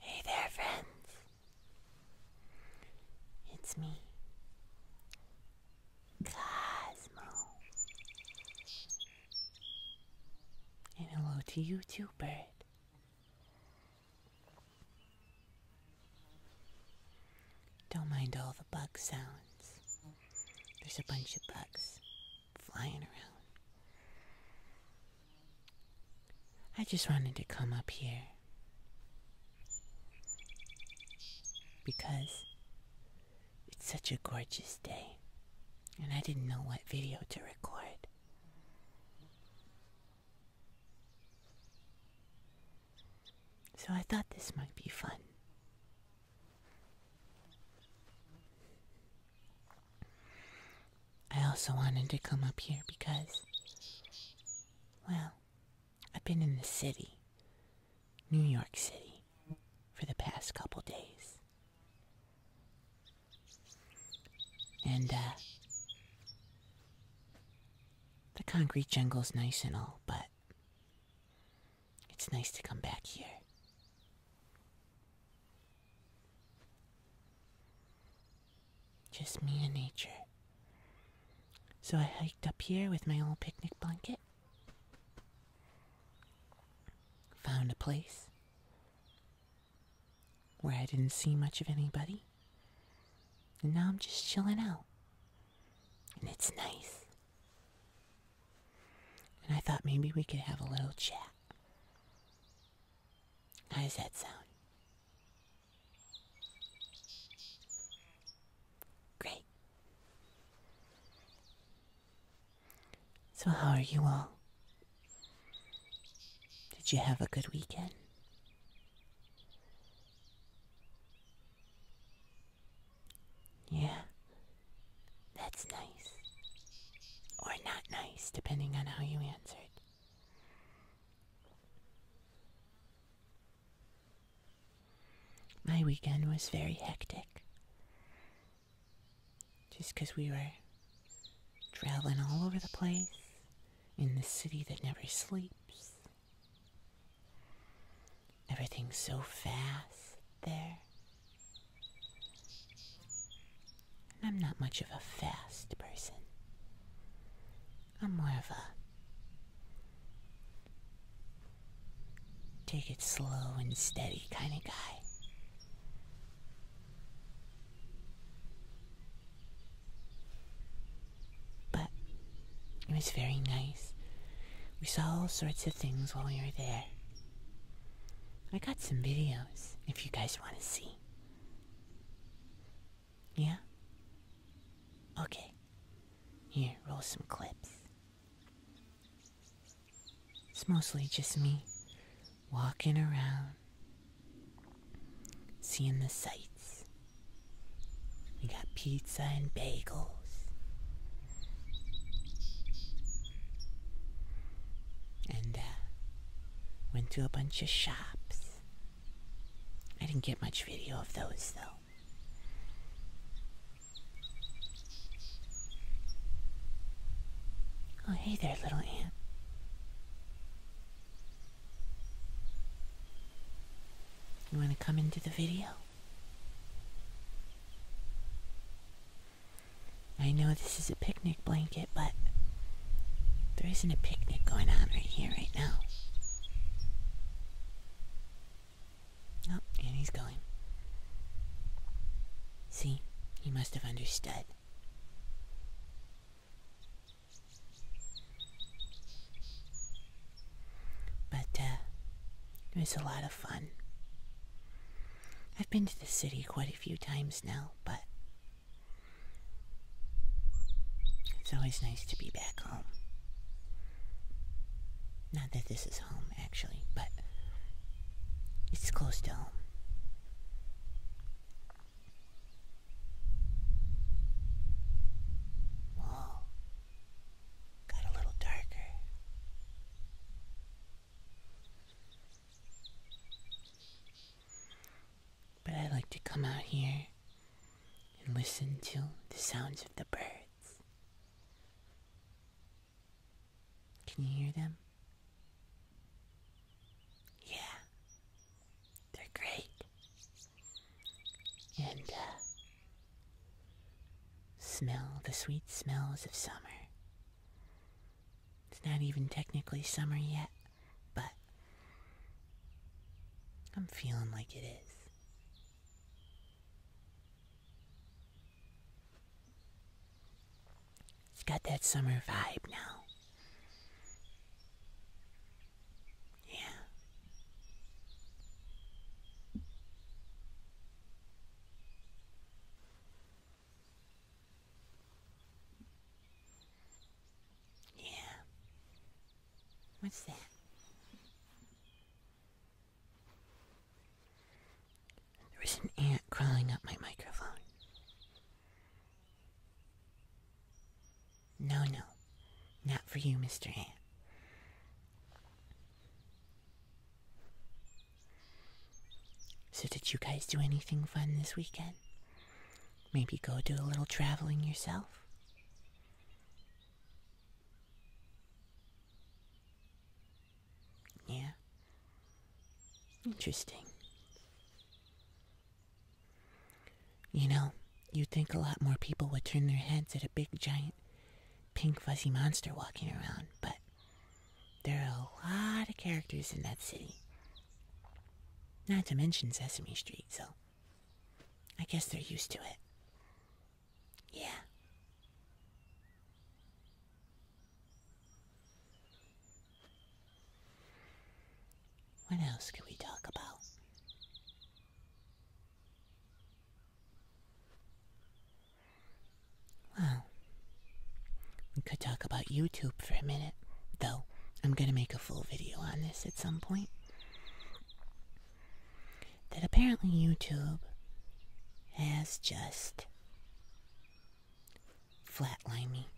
Hey there, friends. It's me, Cosmo. And hello to you, too, bird. Don't mind all the bug sounds. There's a bunch of bugs flying around. I just wanted to come up here because it's such a gorgeous day and I didn't know what video to record. So I thought this might be fun. I also wanted to come up here because, well, I've been in the city, New York City, for the past couple days. And uh, the concrete jungle's nice and all, but it's nice to come back here. Just me and nature. So I hiked up here with my old picnic blanket. Found a place where I didn't see much of anybody. And now I'm just chilling out. And it's nice. And I thought maybe we could have a little chat. How does that sound? Great. So, how are you all? Did you have a good weekend? Yeah, that's nice. Or not nice, depending on how you answered. My weekend was very hectic. Just because we were traveling all over the place in the city that never sleeps. Everything's so fast there. And I'm not much of a fast person. I'm more of a take it slow and steady kind of guy. But it was very nice. We saw all sorts of things while we were there. I got some videos if you guys want to see. Yeah? Okay. Here, roll some clips. It's mostly just me walking around, seeing the sights. We got pizza and bagels. And uh, went to a bunch of shops. I didn't get much video of those though. Oh, hey there, little ant. You want to come into the video? I know this is a picnic blanket, but there isn't a picnic going on right here, right now. Oh, and he's going. See, he must have understood. But uh, it was a lot of fun. I've been to the city quite a few times now, but it's always nice to be back home. Not that this is home, actually, but it's close to home got a little darker. But I like to come out here and listen to the sounds of the birds. Can you hear them? Yeah, they're great. And uh, smell the sweet smells of summer. It's not even technically summer yet, but I'm feeling like it is. It's got that summer vibe now. Yeah. Yeah. What's that? There was an ant crawling up my microphone. No, no. Not for you, Mr. Ant. So did you guys do anything fun this weekend? Maybe go do a little traveling yourself? Yeah. Interesting. You know, you'd think a lot more people would turn their heads at a big, giant, pink, fuzzy monster walking around, but there are a lot of characters in that city. Not to mention Sesame Street, so I guess they're used to it. Yeah. What else can we talk about? Well, we could talk about YouTube for a minute, though I'm going to make a full video on this at some point. That apparently YouTube has just Flatline me.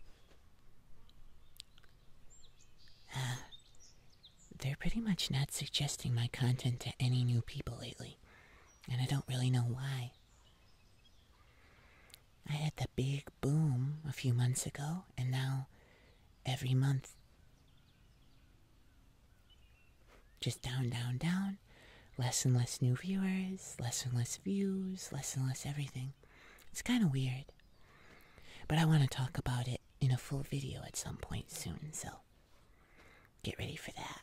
Ah, they're pretty much not suggesting my content to any new people lately, and I don't really know why. I had the big boom a few months ago, and now every month, just down, down, down, less and less new viewers, less and less views, less and less everything. It's kind of weird. But I want to talk about it in a full video at some point soon, so get ready for that.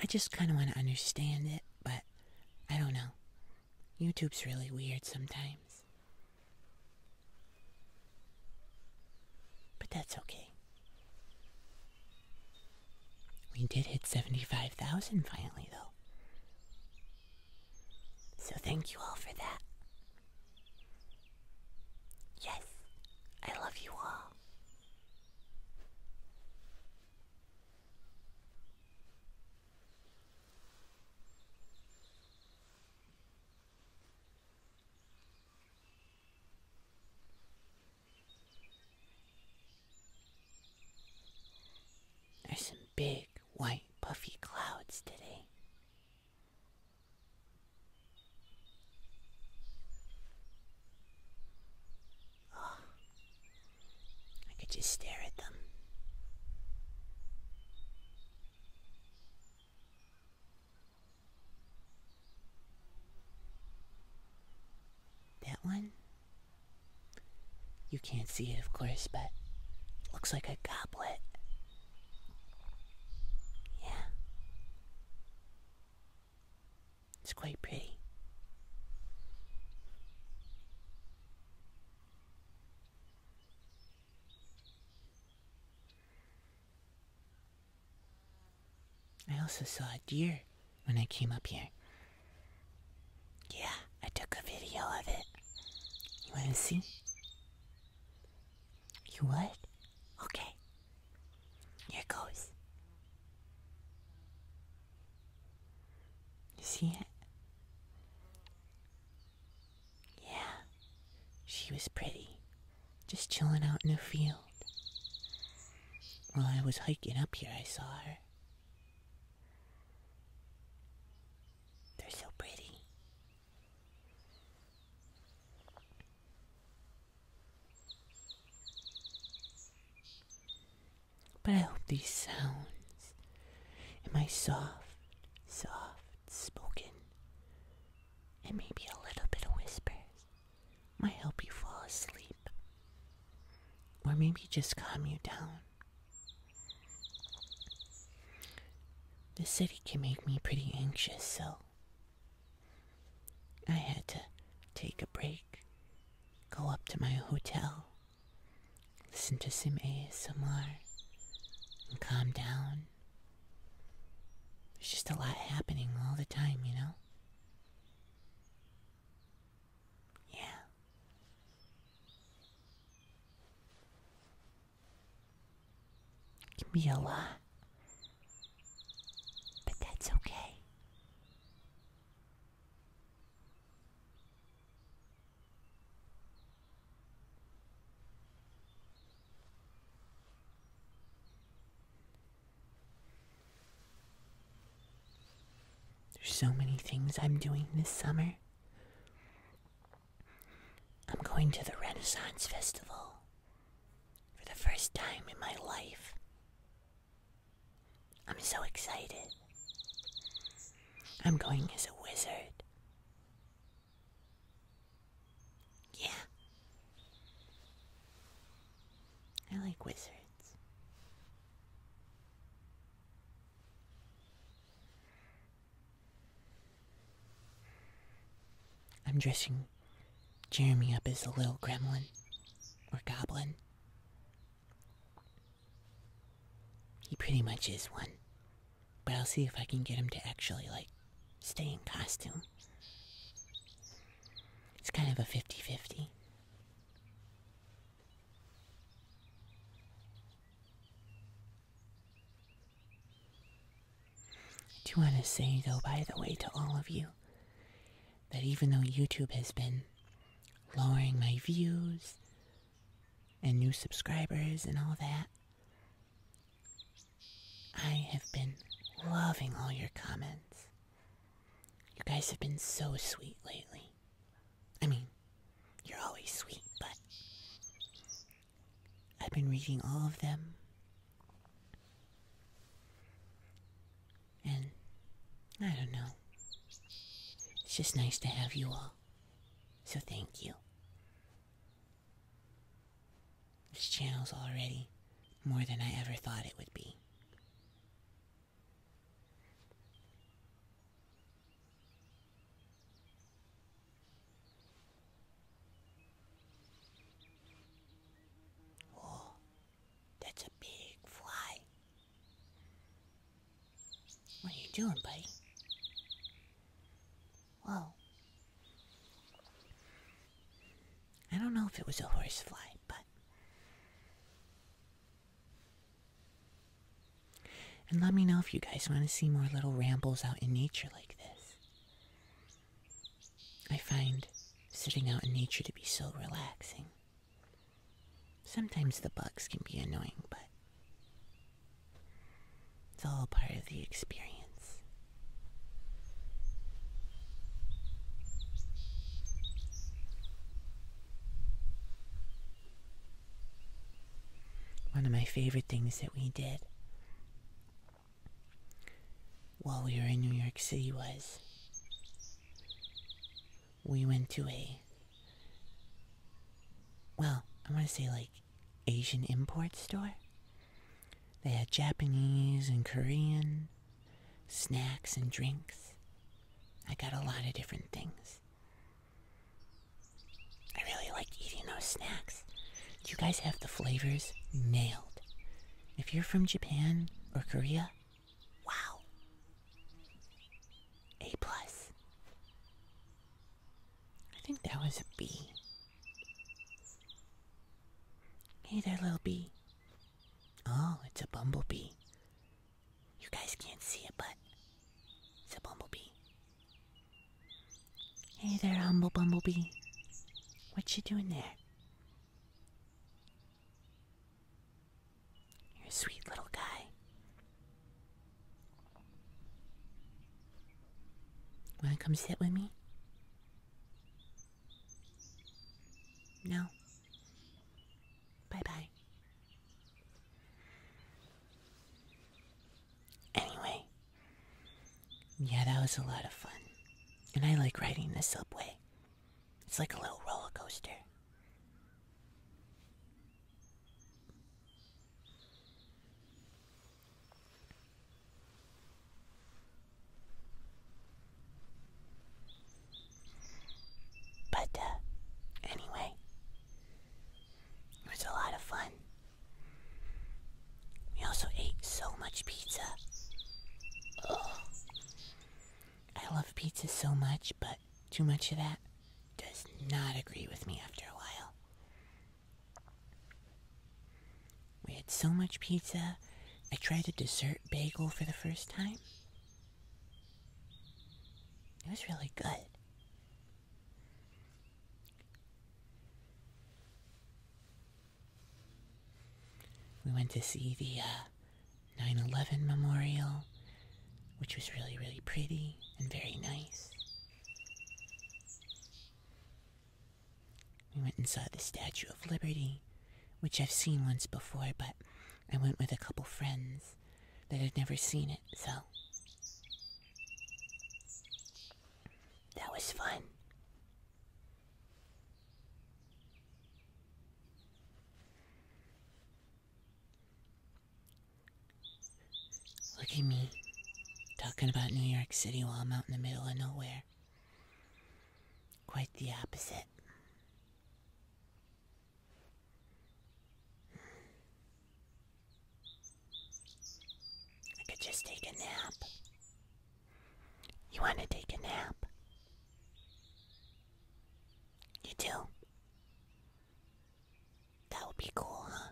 I just kind of want to understand it, but I don't know. YouTube's really weird sometimes. But that's okay. We did hit 75,000 finally, though. So thank you all for that. Yes, I love you all. There's some big, white, puffy clouds today. I could just stare at them. That one? You can't see it, of course, but it looks like a goblet. Yeah. It's quite pretty. I also saw a deer when I came up here. Yeah, I took a video of it. You want to see? You what? Okay. Here goes. You see it? Yeah. She was pretty. Just chilling out in the field. While I was hiking up here, I saw her. They're so pretty. But I hope these sounds and my soft, soft spoken and maybe a little bit of whispers might help you fall asleep or maybe just calm you down. The city can make me pretty anxious, so I had to take a break, go up to my hotel, listen to some ASMR, and calm down. There's just a lot happening all the time, you know? Yeah. It can be a lot, but that's okay. There's so many things I'm doing this summer. I'm going to the Renaissance Festival for the first time in my life. I'm so excited. I'm going as a wizard. Yeah. I like wizards. I'm dressing Jeremy up as a little gremlin or goblin. He pretty much is one. But I'll see if I can get him to actually, like, stay in costume. It's kind of a 50 50. I do want to say, though, by the way, to all of you, that even though YouTube has been lowering my views and new subscribers and all that, I have been loving all your comments. You guys have been so sweet lately. I mean, you're always sweet, but I've been reading all of them. And I don't know. It's just nice to have you all. So thank you. This channel's already more than I ever thought it would be. Oh, that's a big fly. What are you doing, buddy? Whoa. I don't know if it was a horsefly, but. And let me know if you guys want to see more little rambles out in nature like this. I find sitting out in nature to be so relaxing. Sometimes the bugs can be annoying, but it's all part of the experience. One of my favorite things that we did while we were in New York City was we went to a well, I am going to say like Asian import store they had Japanese and Korean, snacks and drinks. I got a lot of different things. I really liked eating those snacks. You guys have the flavors nailed. If you're from Japan or Korea, wow. A plus. I think that was a B. Hey there, little B. Oh, it's a bumblebee. You guys can't see it, but it's a bumblebee. Hey there, humble bumblebee. What you doing there? You're a sweet little guy. Wanna come sit with me? No. Bye bye. Anyway, yeah, that was a lot of fun. And I like riding the subway, it's like a little roller coaster. But, uh, anyway, it was a lot of fun. We also ate so much pizza. I love pizza so much, but too much of that does not agree with me after a while. We had so much pizza, I tried a dessert bagel for the first time. It was really good. We went to see the uh, 9 11 memorial, which was really, really pretty and very nice. We went and saw the Statue of Liberty, which I've seen once before, but I went with a couple friends that had never seen it, so. That was fun. Look at me, talking about New York City while I'm out in the middle of nowhere. Quite the opposite. I could just take a nap. You want to take a nap? You do? That would be cool, huh?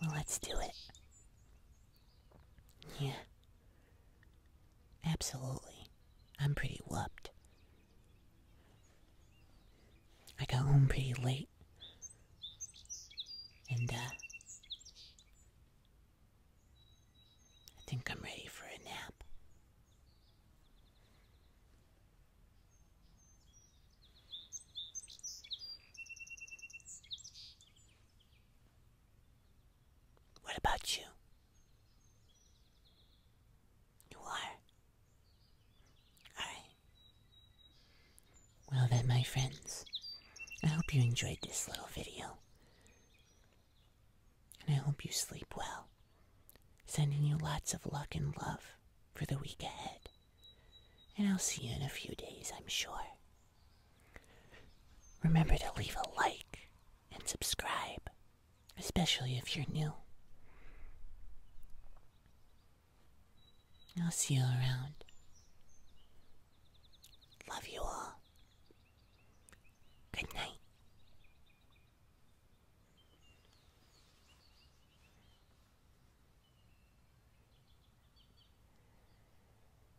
Well, let's do it. Yeah. Absolutely. I'm pretty whooped. I got home pretty late. And, uh, I think I'm ready for a nap. What about you? You are? Alright. Well then, my friends, I hope you enjoyed this little video. And I hope you sleep well. Sending you lots of luck and love for the week ahead. And I'll see you in a few days, I'm sure. Remember to leave a like and subscribe, especially if you're new. I'll see you around. Love you all. Good night.